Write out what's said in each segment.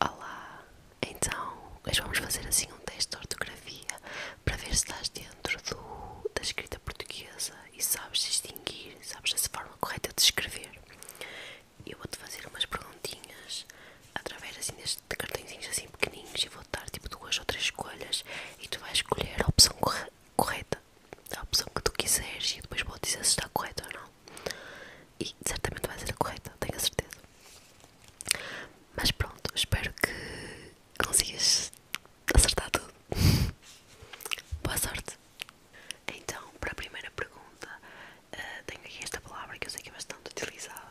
Olá, então hoje vamos fazer assim um teste de ortografia para ver se estás dentro da escrita portuguesa e sabes distinguir, sabes essa forma correta de escrever. Eu vou-te fazer umas perguntinhas através assim destes cartõezinhos assim pequenininhos e vou-te dar tipo duas ou três escolhas e tu vais escolher a opção correta, a opção que tu quiseres e depois vou dizer se está correta ou não. E certamente vai ser a correta, tenho a certeza. Mas pronto, espero que consigas acertar tudo. Boa sorte! Então, para a primeira pergunta, eh, tenho aqui esta palavra que eu sei que é bastante utilizada.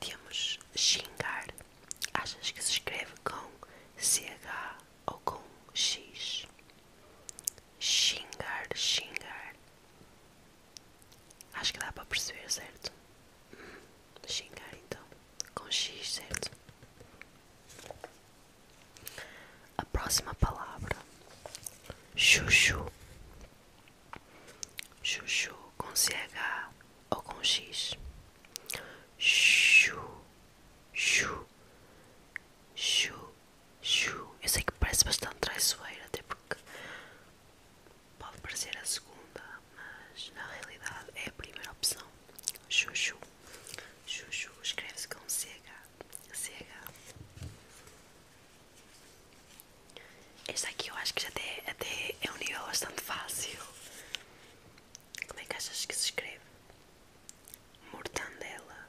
Temos xingar. Achas que se escreve com CH ou com X? Xingar, xingar. Acho que dá para perceber, certo? Uhum. Xingar então, com X, certo? A próxima palavra: chuchu. Chuchu com CH ou com X. Chu, chu, Chu, chu. Eu sei que parece bastante traiçoeira, até porque pode parecer a segunda, mas na realidade é a primeira opção. Chu, chu. Chuchu escreve-se com CH. CH. Este aqui eu acho que já até, até é um nível bastante fácil. Como é que achas que se escreve? Mortandela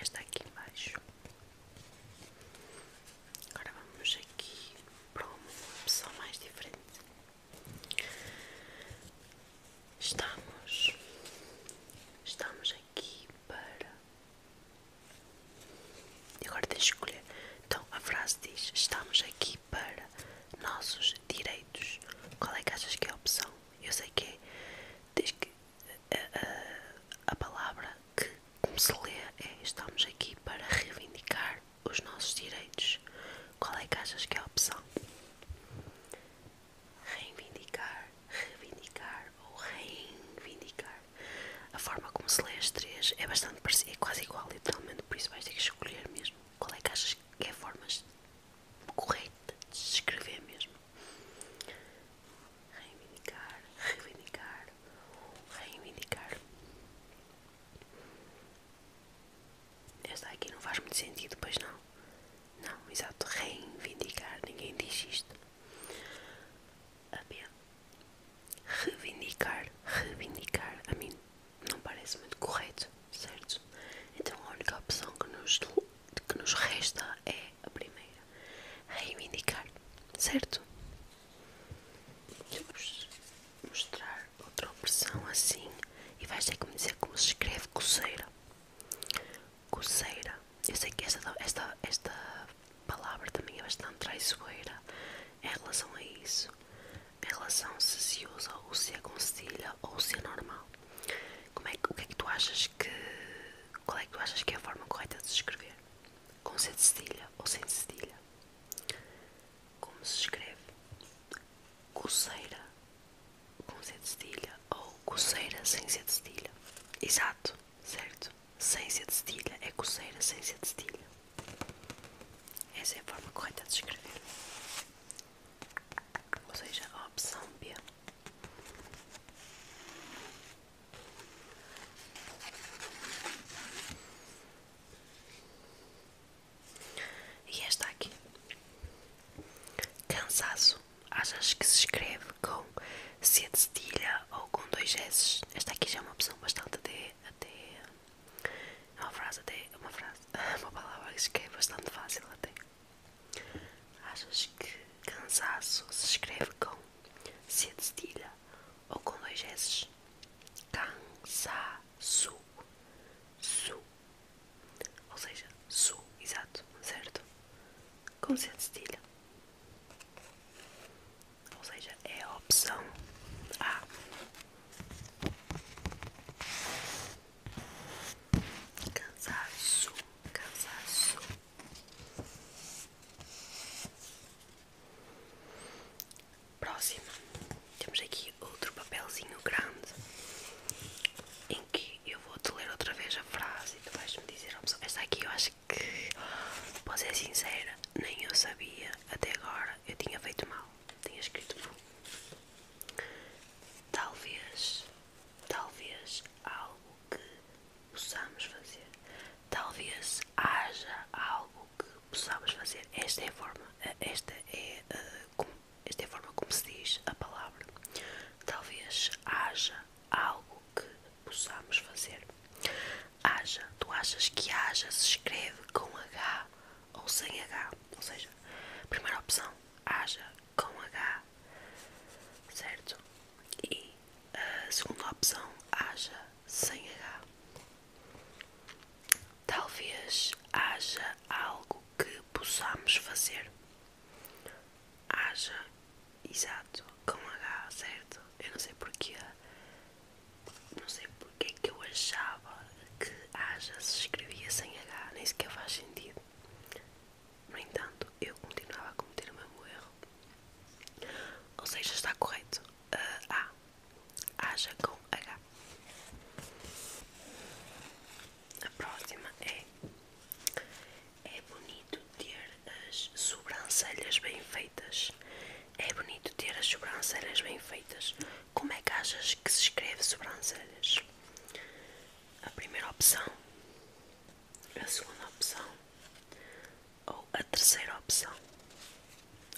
esta aqui embaixo. Agora vamos aqui para uma opção mais diferente. Estamos, estamos aqui para. agora tens de escolher. Então a frase diz: Estamos aqui para nossos direitos. Qual é que achas que é a opção? Eu sei que é. Tens que a, palavra que, como se lê, é estamos aqui para reivindicar os nossos direitos. Qual é que achas que é a opção? Reivindicar, reivindicar ou reivindicar. A forma como se lê as três é bastante parecida, é quase igual, literalmente, por isso vais ter que escolher mesmo. Qual é que achas que é a forma correta de escrever mesmo? reivindicar, reivindicar, reivindicar. Esta aqui não faz muito sentido, pois não? Não, exato, reivindicar, ninguém diz isto. Apenas reivindicar, reivindicar, a mim não parece muito correto, certo? Então a única opção que nos que nos resta é a primeira, reivindicar, certo? Vamos mostrar outra opção assim e vais ter que me dizer como se escreve coceira. Coceira. Eu sei que esta, esta, esta palavra também é bastante traiçoeira em relação a isso. Em relação se se usa ou se é com cedilha ou se é normal. Como é, o que é que tu achas que qual é que tu achas que é a forma correta de se escrever? Com C de cedilha ou sem cedilha? Como se escreve? Coceira com C de cedilha ou coceira sem C de cedilha? Exato, certo? Sem C de cedilha é coceira sem C de cedilha. Essa é a forma correta de escrever. Ou seja, a opção B. E esta aqui. Cansaço. vezes que se escreve com C de cedilha ou com dois S? Esta aqui já é uma opção bastante até. até é uma frase, até. É uma frase. É uma palavra que se escreve bastante fácil até. Achas que cansaço se escreve com C de cedilha ou com dois s's Cansaço. Su. Ou seja, su, exato, certo? Com C de cedilha. Ou seja, é a opção A. Cansaço, cansaço. Próxima, temos aqui outro papelzinho grande em que eu vou te ler outra vez a frase e tu vais-me dizer oh, a opção. Esta aqui eu acho que, para ser sincera, nem eu sabia até agora, eu tinha feito mal, tinha escrito mal. Talvez talvez algo que possamos fazer, talvez haja algo que possamos fazer. Esta é a forma, eh, esta é, uh, esta é a forma como se diz a palavra. Talvez haja algo que possamos fazer. Haja, tu achas que haja se escreve com H ou sem H, ou seja, primeira opção, haja com H, certo? E a segunda opção, haja sem H. Talvez haja algo que possamos fazer. Haja, exato, com H, certo? Eu não sei porque Não sei porque é que eu achava que haja se escrevia sem H, nem sequer faz sentido. No entanto, eu continuava a cometer o mesmo erro. Ou seja, está correto. Ah, a. Haja com H. A próxima é. É bonito ter as sobrancelhas bem feitas. É bonito ter as sobrancelhas bem feitas. Como é que achas que se escreve sobrancelhas? A primeira opção a segunda opção ou a terceira opção.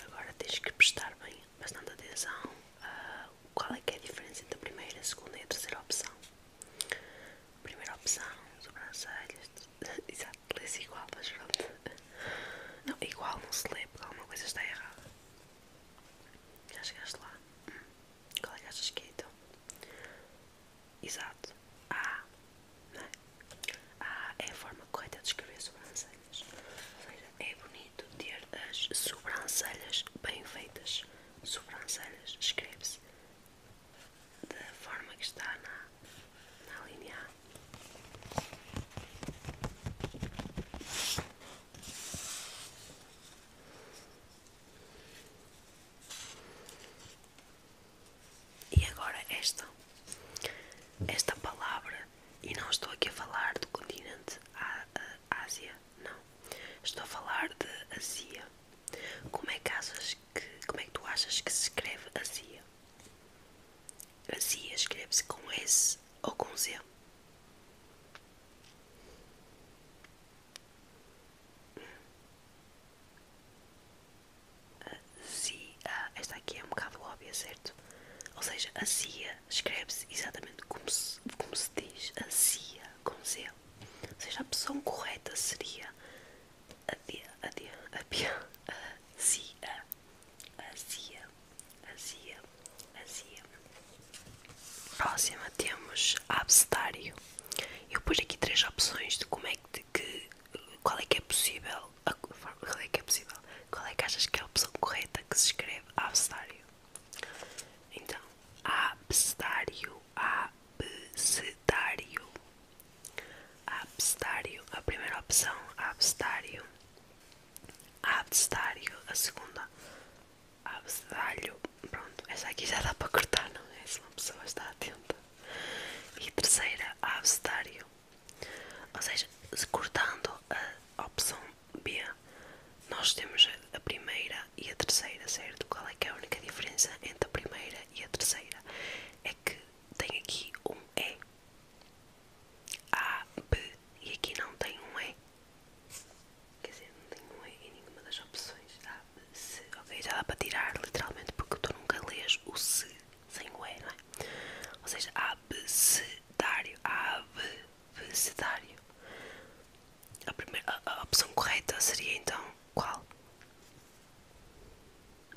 Agora tens que prestar bem bastante atenção a qual é que é a diferença entre a primeira, a segunda e a terceira opção. Primeira opção, sobrancelhas, exato, lê-se igual, mas pronto. Não, igual não se lê porque alguma coisa está errada. Já chegaste lá. Koleżaczki kiedy? então Exato. A, né? A é a forma correta de escrever sobrancelhas. Ou é bonito ter as sobrancelhas bem feitas. Sobrancelhas, escreve-se da forma que está na, na linha A. E agora esta. Esta palavra, e não estou aqui a falar do continente Ásia, não. Estou a falar de Asia. Como é que, achas que, como é que tu achas que se escreve Asia? Asia escreve-se com S ou com Z? a CIA. Ah, esta aqui é um bocado óbvia, certo? Ou seja, a CIA escreve-se exatamente como se, como se diz a CIA, com Z. Ou seja, a opção correta seria a D, a a CIA, a CIA, a CIA, a CIA. Próxima temos abcedário. Eu pus aqui três opções de como é que, qual é que é possível, qual é que é possível, qual é que achas que é a opção correta que se escreve abcedário? Então, abcedário, abcedário, abcedário, a primeira opção, abcedário, abcedário, a segunda, abedalho. Pronto, essa aqui já dá para cortar, não é? Se uma pessoa está atenta. E terceira, abcedário. Ou seja, se cortando a opção B, nós temos a primeira e a terceira, certo? Qual é que é a única diferença entre a primeira e a terceira? É que tem aqui um E. A, B. E aqui não tem um E. Quer dizer, não tenho em nenhuma das opções. Ah, se. Ok, já dá para tirar literalmente porque tu nunca lês o se sem o E, não é? Ou seja, abecedário. Abecedário. A, primeira, a, a opção correta seria então qual?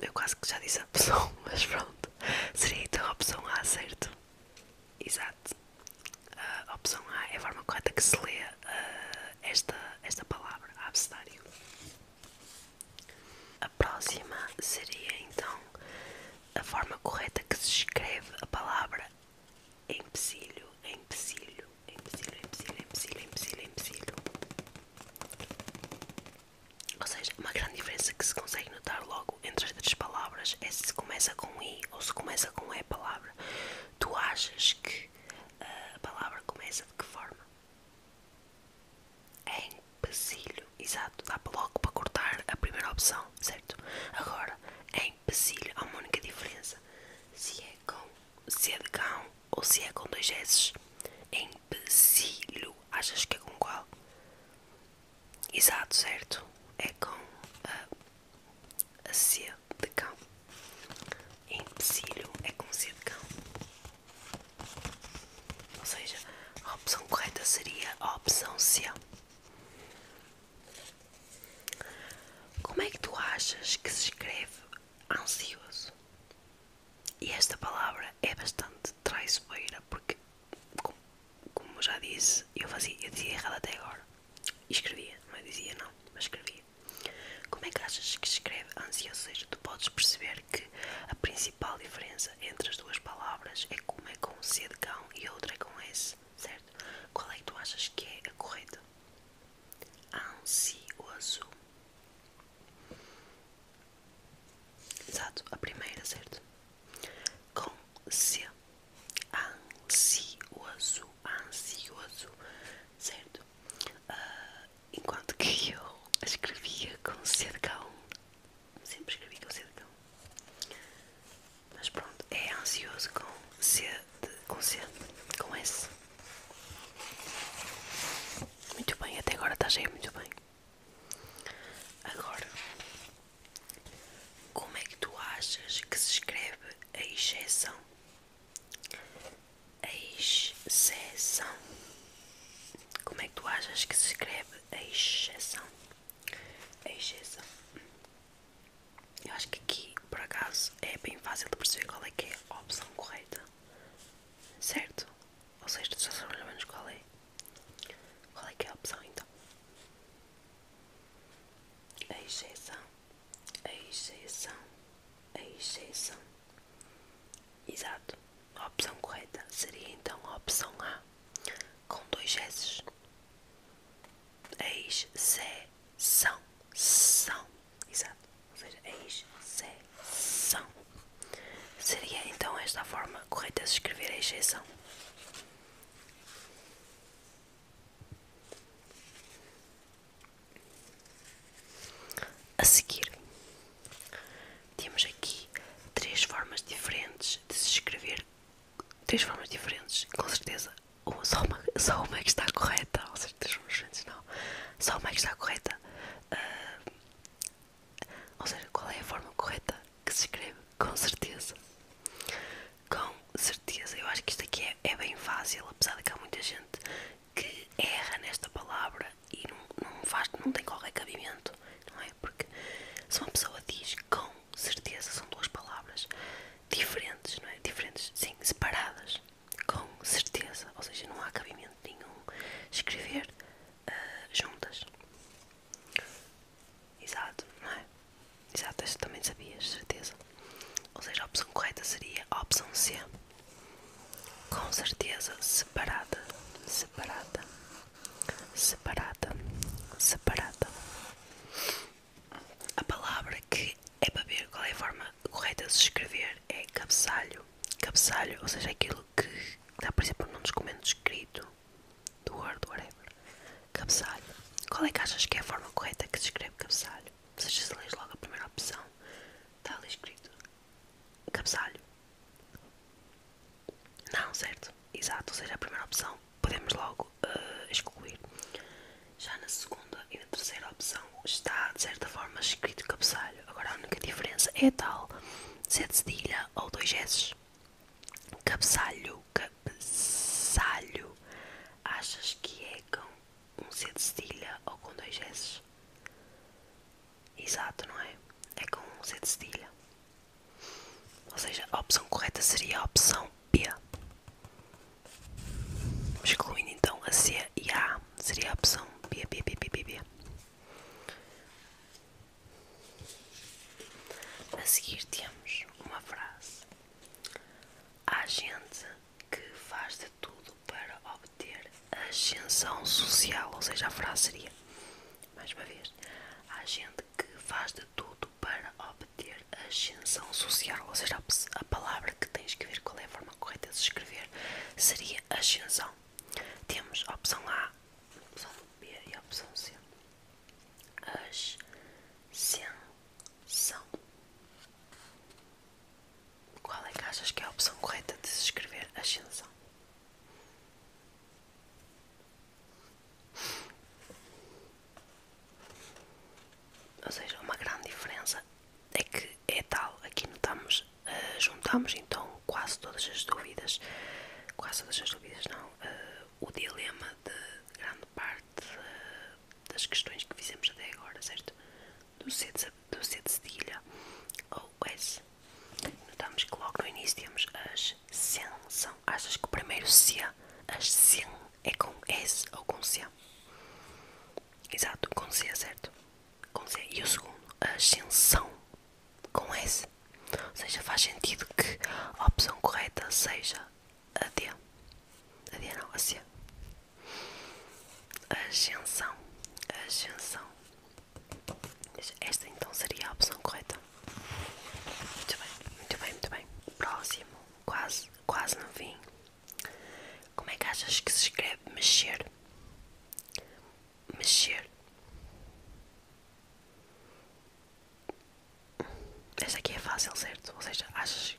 Eu quase que já disse a opção, mas pronto. Seria então a opção A, certo? Exato. A opção A é a forma correta que se lê eh, esta, esta palavra, abcedário. A próxima seria então a forma correta que se escreve a palavra empecilho, empecilho, empecilho, empecilho, empecilho, empecilho, empecilho. Ou seja, uma grande diferença que se consegue notar logo entre as três palavras é se começa com I ou se começa com E palavra. Tu achas que a palavra começa de que forma? É empecilho, exato, dá logo para cortar a primeira opção, certo? Agora, é empecilho, há uma única diferença, se é com se é de cão ou se é com dois S, é empecilho, achas que é com qual? Exato, certo, é com ah, a sede de cão. Empecilho é com sede de cão. Ou seja, a opção correta seria a opção C. Como é que tu achas que se escreve ansioso? E esta palavra é bastante traiçoeira porque, como já disse, eu, fazia, eu dizia errado até agora. E escrevia, não é? dizia não, mas escrevia. Como é que achas que escreve ansioso? Ou seja, tu podes perceber que a principal diferença entre as duas palavras é que uma é com C de cão e a outra é com S, certo? Qual é que tu achas que é a correta? Ansioso. Exato, a primeira, certo? Com C ansioso, ansioso, certo? Ah, enquanto que eu escrevia com cercão, sempre escrevi com cercão, mas pronto, é ansioso com C, com C, com S. Muito bem, até agora está estás aí muito bem. Agora como é que tu achas que se escreve a exceção? A exceção. Como é que tu achas que se escreve a exceção? A exceção. Eu acho que aqui, por acaso, é bem fácil de perceber qual é que é a opção correta. Certo? Ou seja, tu já sabes mais ou qual é. Qual é que é a opção então? A exceção a exceção, exceção. Exato. A opção correta seria então a opção A, com dois S's. ex Exato. Ou seja, ex Seria então esta a forma correta de escrever a exceção. A seguir, temos aqui três formas diferentes de se escrever. Três formas diferentes, com certeza. só, uma, só uma é que está correta. Ou seja, três formas diferentes, não. Só uma é que está correta. Uh, ou seja, qual é a forma correta que se escreve? Com certeza com certeza. Eu acho que isto aqui é, é bem fácil, apesar de que há muita gente que erra nesta palavra e não, não, faz, não tem qualquer cabimento, não é? Porque se uma pessoa diz com certeza, são duas palavras diferentes, não é? Diferentes, sim, separadas, com certeza, ou seja, não há cabimento nenhum escrever eh, juntas. Exato, não é? Exato, esta também sabias, certeza. Ou seja, a opção correta seria a opção C. Com certeza, separada, separada, separada, separada. A palavra que é para ver qual é a forma correta de se escrever é cabeçalho. Cabeçalho, ou seja, aquilo que dá, por exemplo, num documento escrito do Word, whatever. Cabeçalho. Qual é que achas que é a forma correta que se escreve cabeçalho? Seja se lês logo a primeira opção. Está ali escrito. Cabeçalho. Não, certo. Exato. Ou seja, a primeira opção podemos logo uh, excluir. Já na segunda e na terceira opção está, de certa forma, escrito cabeçalho. Agora a única diferença é tal. Z cedilha ou dois S. Cabeçalho, cabeçalho. Achas que é com um C de cedilha ou com dois S? Exato, não é? É com um C de cedilha. Ou seja, a opção correta seria a opção B. Excluindo então a C e a A, seria a opção B, B, B, B, B, B. A seguir temos uma frase Há gente que faz de tudo para obter ascensão social, ou seja, a frase seria, mais uma vez, há gente que faz de tudo para obter ascensão social, ou seja, a palavra que tem de escrever, qual é a forma correta de se escrever, seria ascensão. Temos a opção A, a opção B e a opção C as sensação. Qual é que achas que é a opção correta de se escrever ascensão? Ou seja, uma grande diferença é que é tal, aqui notamos, eh, juntamos então quase todas as dúvidas, quase todas as dúvidas não, eh, o dilema de grande parte eh, das questões que fizemos até agora, certo? Do C de, do C de cedilha ou S. Notamos que logo no início temos as são Achas que o primeiro C, as sen, é com S ou com C? Exato, com C, certo? Com C. E o segundo, ascensão, com S. Ou seja, faz sentido que a opção correta seja Adia. Adia não, Ásia. Ascensão. Ascensão. Esta então seria a opção correta. Muito bem, muito bem, muito bem. Próximo. Quase, quase não vim. Como é que achas que se escreve mexer? Mexer. Esta aqui é fácil, certo? Ou seja, achas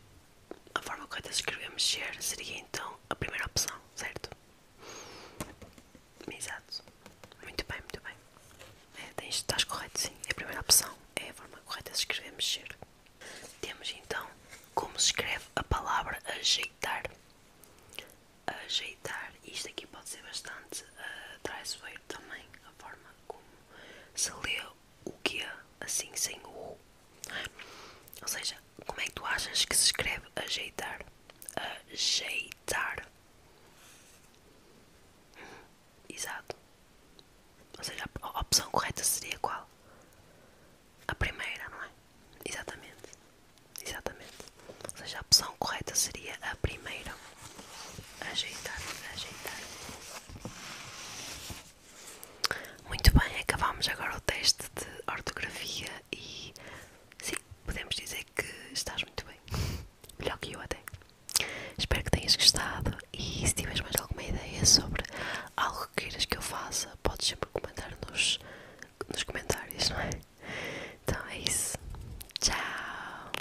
a forma correta de escrever mexer seria então a primeira opção, certo? Exato. Muito bem, muito bem. É, estás correto, sim. A primeira opção é a forma correta de escrever mexer. Temos então como se escreve a palavra ajeitar. Ajeitar. Isto aqui pode ser bastante uh, traiçoeiro também, a forma como se lê o que é assim sem o U. Ou seja, como é que tu achas que se escreve ajeitar? Ajeitar. Hum, exato. Ou seja, a opção correta seria qual? A primeira, não é? Exatamente. Exatamente. Ou seja, a opção correta seria a primeira. Ajeitado, ajeitado. Muito bem, acabámos agora o teste de ortografia e sim, podemos dizer que estás muito bem. Melhor que eu até. Espero que tenhas gostado e se tiveres mais alguma ideia sobre algo que queiras que eu faça, podes sempre comentar nos, nos comentários, não é? Então é isso. Tchau!